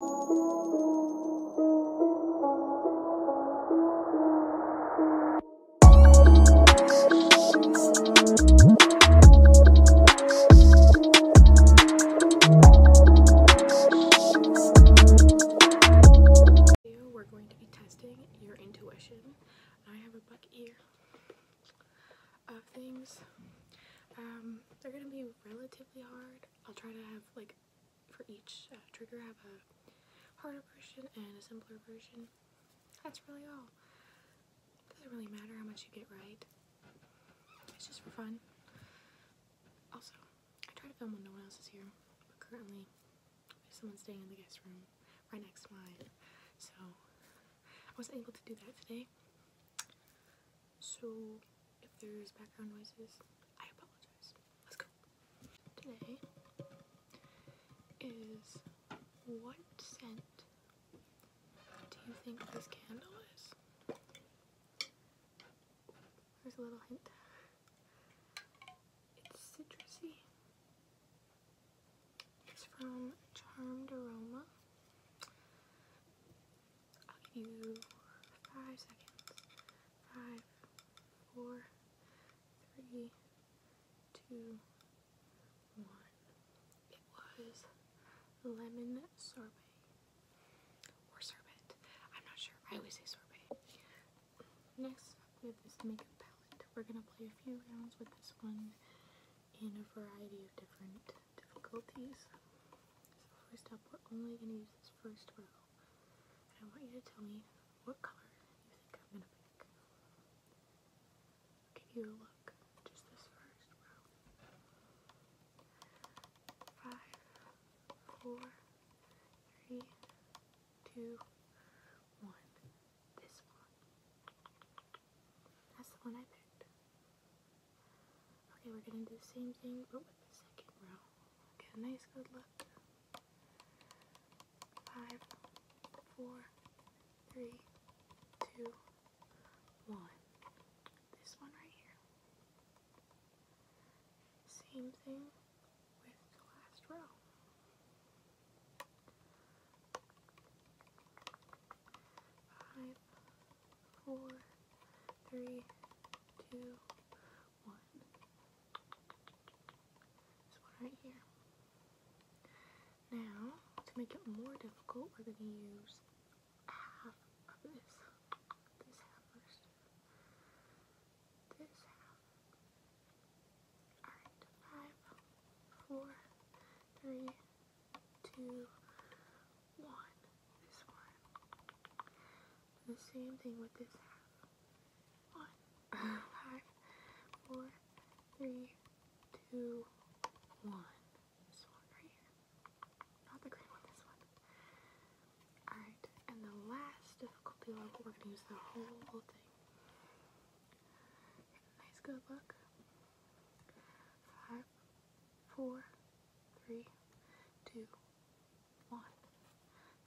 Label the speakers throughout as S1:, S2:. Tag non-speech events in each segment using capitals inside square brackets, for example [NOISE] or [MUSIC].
S1: I have a bucket of things. Um, they're gonna be relatively hard. I'll try to have like for each uh, trigger. I have a harder version and a simpler version. That's really all. Doesn't really matter how much you get right. It's just for fun. Also, I try to film when no one else is here, but currently there's someone staying in the guest room right next to mine. So I wasn't able to do that today. So if there's background noises, I apologize. Let's go. Today is what scent do you think this candle is? There's a little hint. It's citrusy. It's from Charmed Aroma. I'll give you five seconds. Five, four, three, two, one. It was lemon sorbet or sorbet. I'm not sure. I always say sorbet. Next up, we have this makeup palette. We're gonna play a few rounds with this one in a variety of different difficulties. So first up, we're only gonna use this first row. I want you to tell me what color you think I'm gonna pick. give you a look. Five, four, three, two, one. This one. That's the one I picked. Okay, we're gonna do the same thing but with the second row. Okay, nice good look. Five, four, three, two, one. This one right here. Same thing with the last row. Five, four, three, two, one. This one right here. Now, to make it more difficult, we're going to use half of this. This half first. This half. Alright, five, four, three, two, one, this one. the same thing with this One, five, four, three, two, one. This one right here. Not the green one, this one. Alright, and the last difficulty level, we're gonna use the whole thing. Nice good look. Five, four, three, two, what?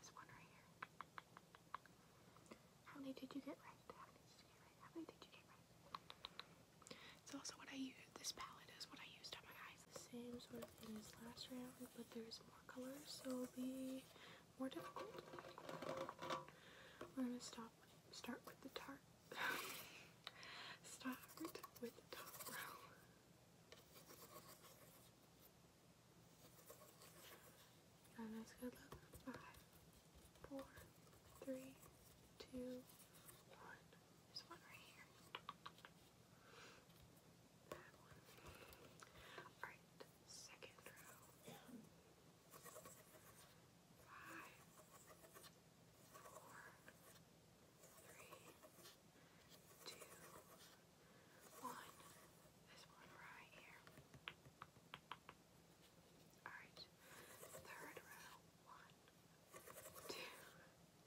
S1: This one right here. How many did you get right? How many did you get right? How many did you get right? It's also what I use. This palette is what I used on my eyes. The same sort of thing as last round, but there's more colors, so it'll be more difficult. We're gonna stop. Start with the tart. [LAUGHS] start with the top and that's a good look. Five, four, three, two, one. There's one right here. That one. Alright, second row. Five, four, three, two, one. This one right here. Alright, third row. One, two,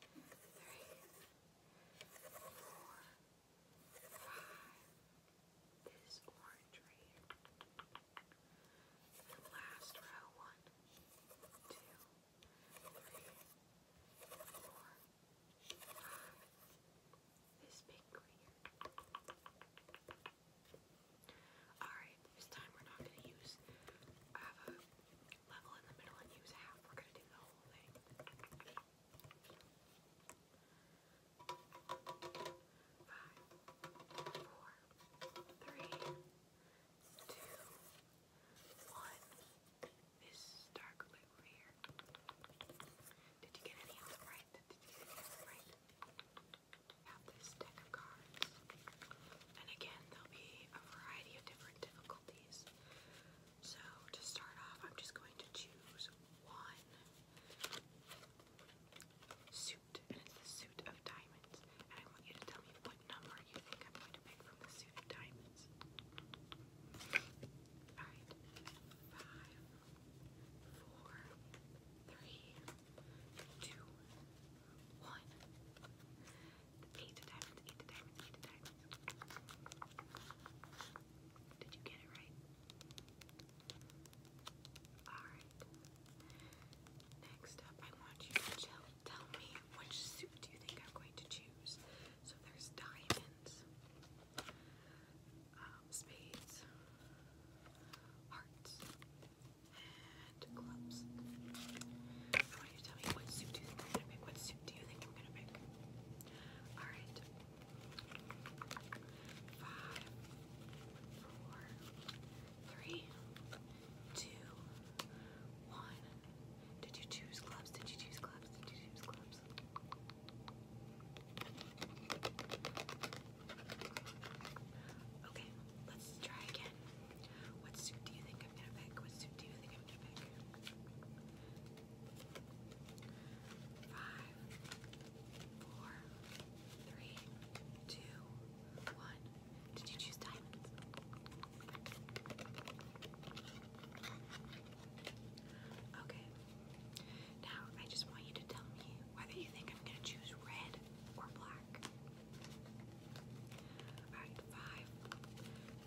S1: three, four, five. This orange right here. last row. One, two, three, four, this big Alright, this time we're not gonna use level in the middle and use half. We're gonna do the whole thing. Five, four, three, two, one this dark blue over here. Did you get any right? right? Have this deck of cards. And again, there'll be a variety of different difficulties. So to start off, I'm just going to choose one suit, and it's the suit of diamonds. And I want you to tell me what number you think I'm going to pick from this suit diamonds. Alright. two, one. Eight diamonds, eight diamonds, eight diamonds. Did you get it right? Alright. Next up, I want you to tell me which suit do you think I'm going to choose. So there's diamonds, um, spades, hearts, and clubs. I want you to tell me what suit do you think I'm gonna pick? What suit do you think I'm gonna pick? Alright. Five, four, three, two, one. Did you choose clubs? Did you choose clubs? Did you choose clubs? Okay, let's try again. What suit do you think I'm gonna pick? What suit do you think I'm gonna pick? Five, four, three, two, one. Did you choose diamonds? Okay. Now, I just want you to tell me whether you think I'm going to choose red or black. Alright, five,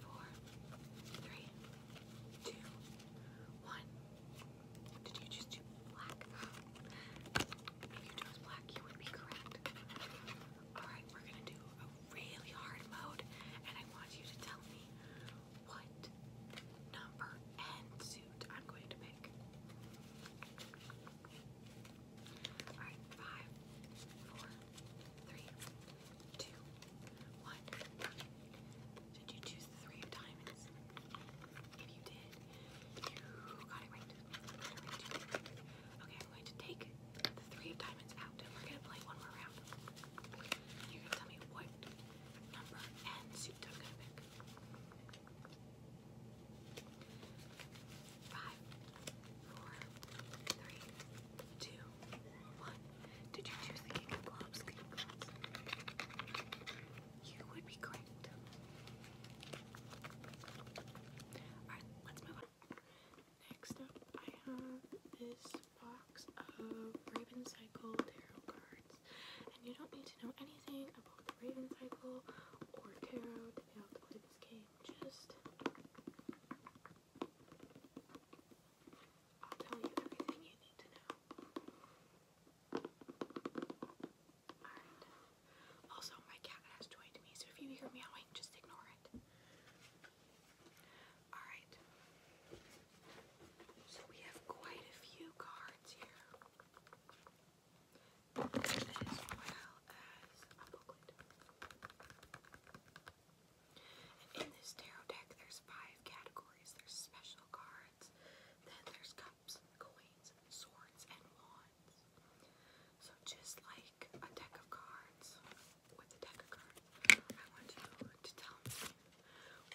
S1: four, three, two, one. Did you just do black? If you chose black, you would be correct. Alright, we're gonna do a really hard mode, and I want you to tell me what number and suit I'm going to pick. Alright, five, four, three, two, one. Did you choose the three of diamonds? If you did, you got it right. Okay, I'm going to take three of diamonds out, we're gonna play one more round. you're gonna tell me what number Five, four, three, two, one. Did you choose the King of Clubs? You would be correct. Alright, let's move on. Next up, I have this box of Raven Cycle tarot cards. And you don't need to know anything about the Raven Cycle or tarot to be able to play this game. Just I'll tell you everything you need to know. Also, my cat has joined me, so if you hear meowing, just ignore it. Alright. So we have quite a few cards here. As well as a booklet. And in this tarot deck there's five categories. There's special cards, then there's cups, coins, swords, and wands. So just like a deck of cards, with the deck of cards, I want you to tell me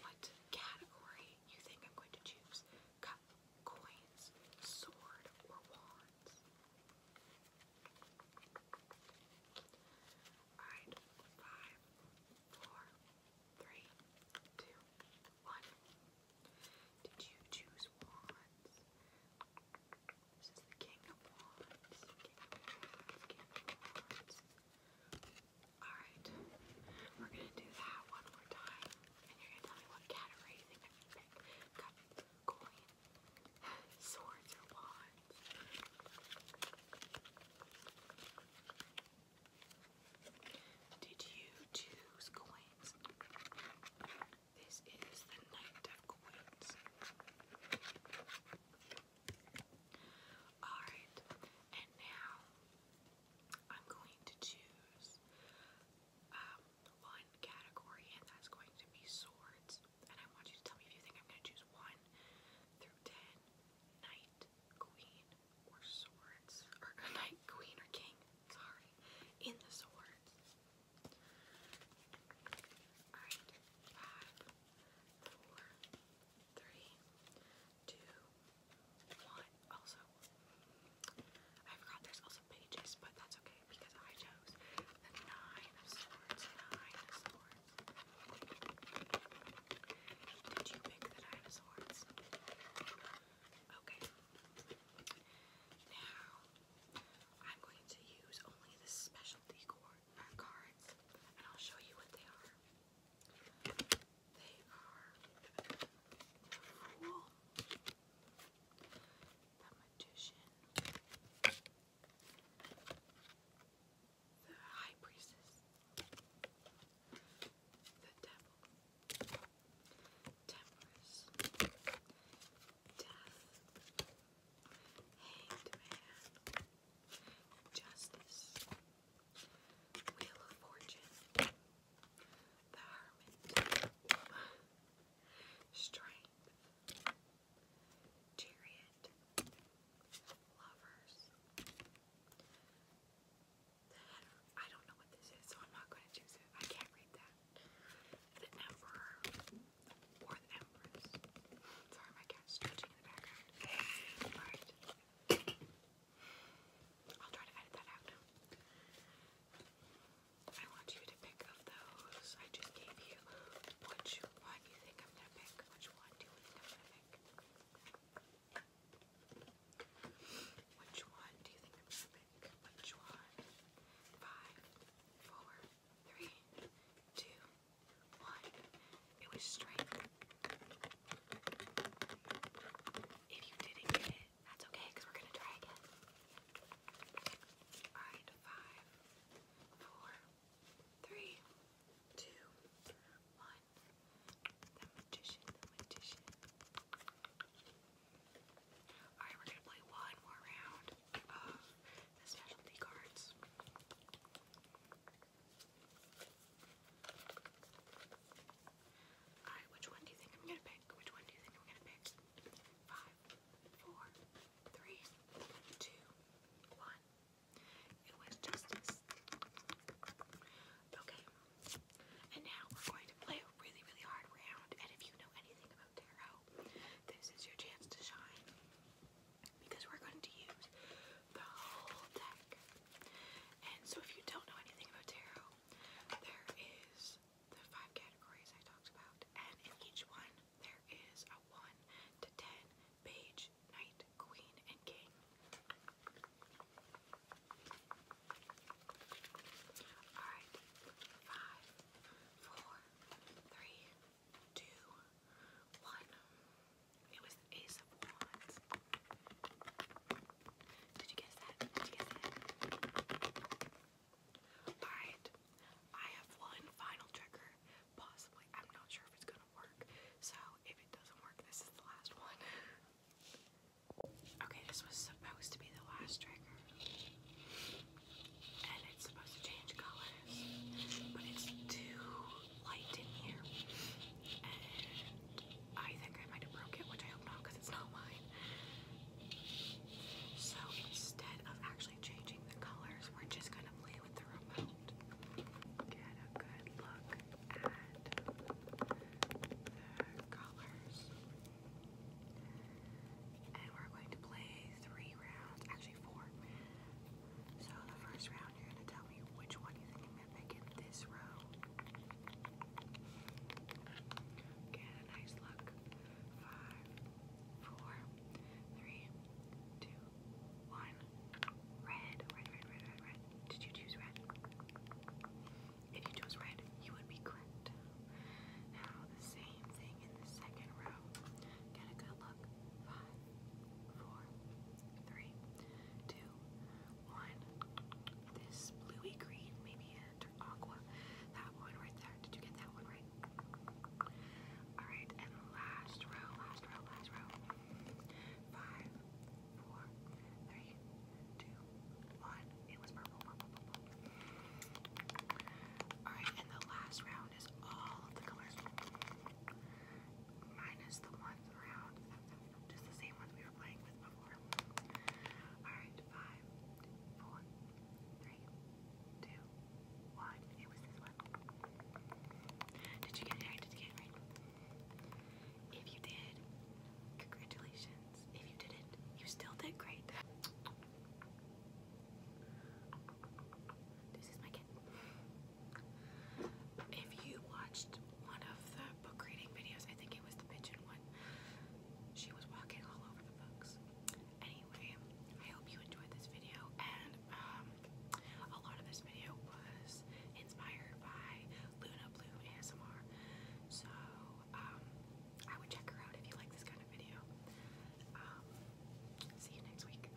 S1: what category you think I'm going to choose. Cup, coins, sword, or wands. five, four, three, two, one. Did you choose wands? Alright. We're gonna do that one more time. And you're gonna tell me what category you think I should pick. [LAUGHS] swords, or wands. Did you choose coins? This is the Knight of Coins. Alright, and now I'm going to choose um, one category, and that's going to be swords. And I want you to tell me if you think I'm going to choose one through ten knight, queen, or swords, or [LAUGHS] knight, queen, or king. Sorry, in the swords. Alright, five, four, three, two, one. Also, I forgot there's also pages, but that's okay because I chose the nine you Okay. Now I'm going to use only the specialty card uh, cards, and I'll show you what they are. They are the Fool, the Magician, the High Priestess, the Devil, Temperance, Death, Hanged Man, Justice, Wheel of Fortune, The Hermit, Strength, Chariot, Lovers. I don't know what this is, so I'm not going to choose it. I can't read that. The Emperor or the Empress. Sorry, my cat's stretching in the background. Alright. I'll try to edit that out. I want you to pick of those I just gave you. Which one you think I'm gonna pick? Which one do you think to pick? Which one do you think I'm gonna pick? Which one? Five, four, three, two, one. It was straight. If you didn't get it, that's okay, we're gonna try again. Alright, The magician, the magician. Alright, we're gonna play one more round of the specialty cards. Alright, which one do you think I'm gonna pick? Which one do you think I'm gonna pick? Five, four, three, two, one. It was justice. Okay. And now we're going to play a really, really hard round. And if you know anything about tarot, this is your chance to shine because we're going to use the whole deck. And so if you don't know anything about tarot, there is the five categories I talked about, and in each one there is a 1 to 10 page, knight, queen, and king. Alright, 5, two, one. It was the Ace of Wands. Did you guess that? Did you guess that? Alright, I have one final trigger. Possibly, I'm not sure if it's gonna work. So if it doesn't work, this is the last one. okay, this was supposed to be the last trigger. And it's supposed to change color. But it's too light in here. And I think I might have broke it, which I hope not because it's not mine. So instead of actually changing the colors, we're just going to play with the remote. Get a good look at the colors. And we're going to play three rounds, actually four. So the first round. You're gonna tell me which one you think i gonna pick in this row. Get a nice look. Five, four, three, two, one. red, red, red, red, red. Did you choose red? If you chose red, you would be correct. Now the same thing in the second row. Get a good look. Five, four, three, two, one. This bluey green, maybe a aqua. That one right there. Did you get that one right? Alright, and last row, last row, last row. Five, four, three, two, one. It was purple. Alright, and the last round is all of the colors minus the ones around, just the same ones we were playing with before. Alright, five, four, three, two, one. It was this one. Did you get it right? Did you get it right? If you did, congratulations. If you didn't, you still did great. This is my kid. If you watched one of the book reading videos, I think it was the pigeon one, she was walking all over the books. Anyway, I hope you enjoyed this video, and um, a lot of this video was inspired by Luna Bloom ASMR. So, um, I would check her out if you like this kind of video. Um, see you next week.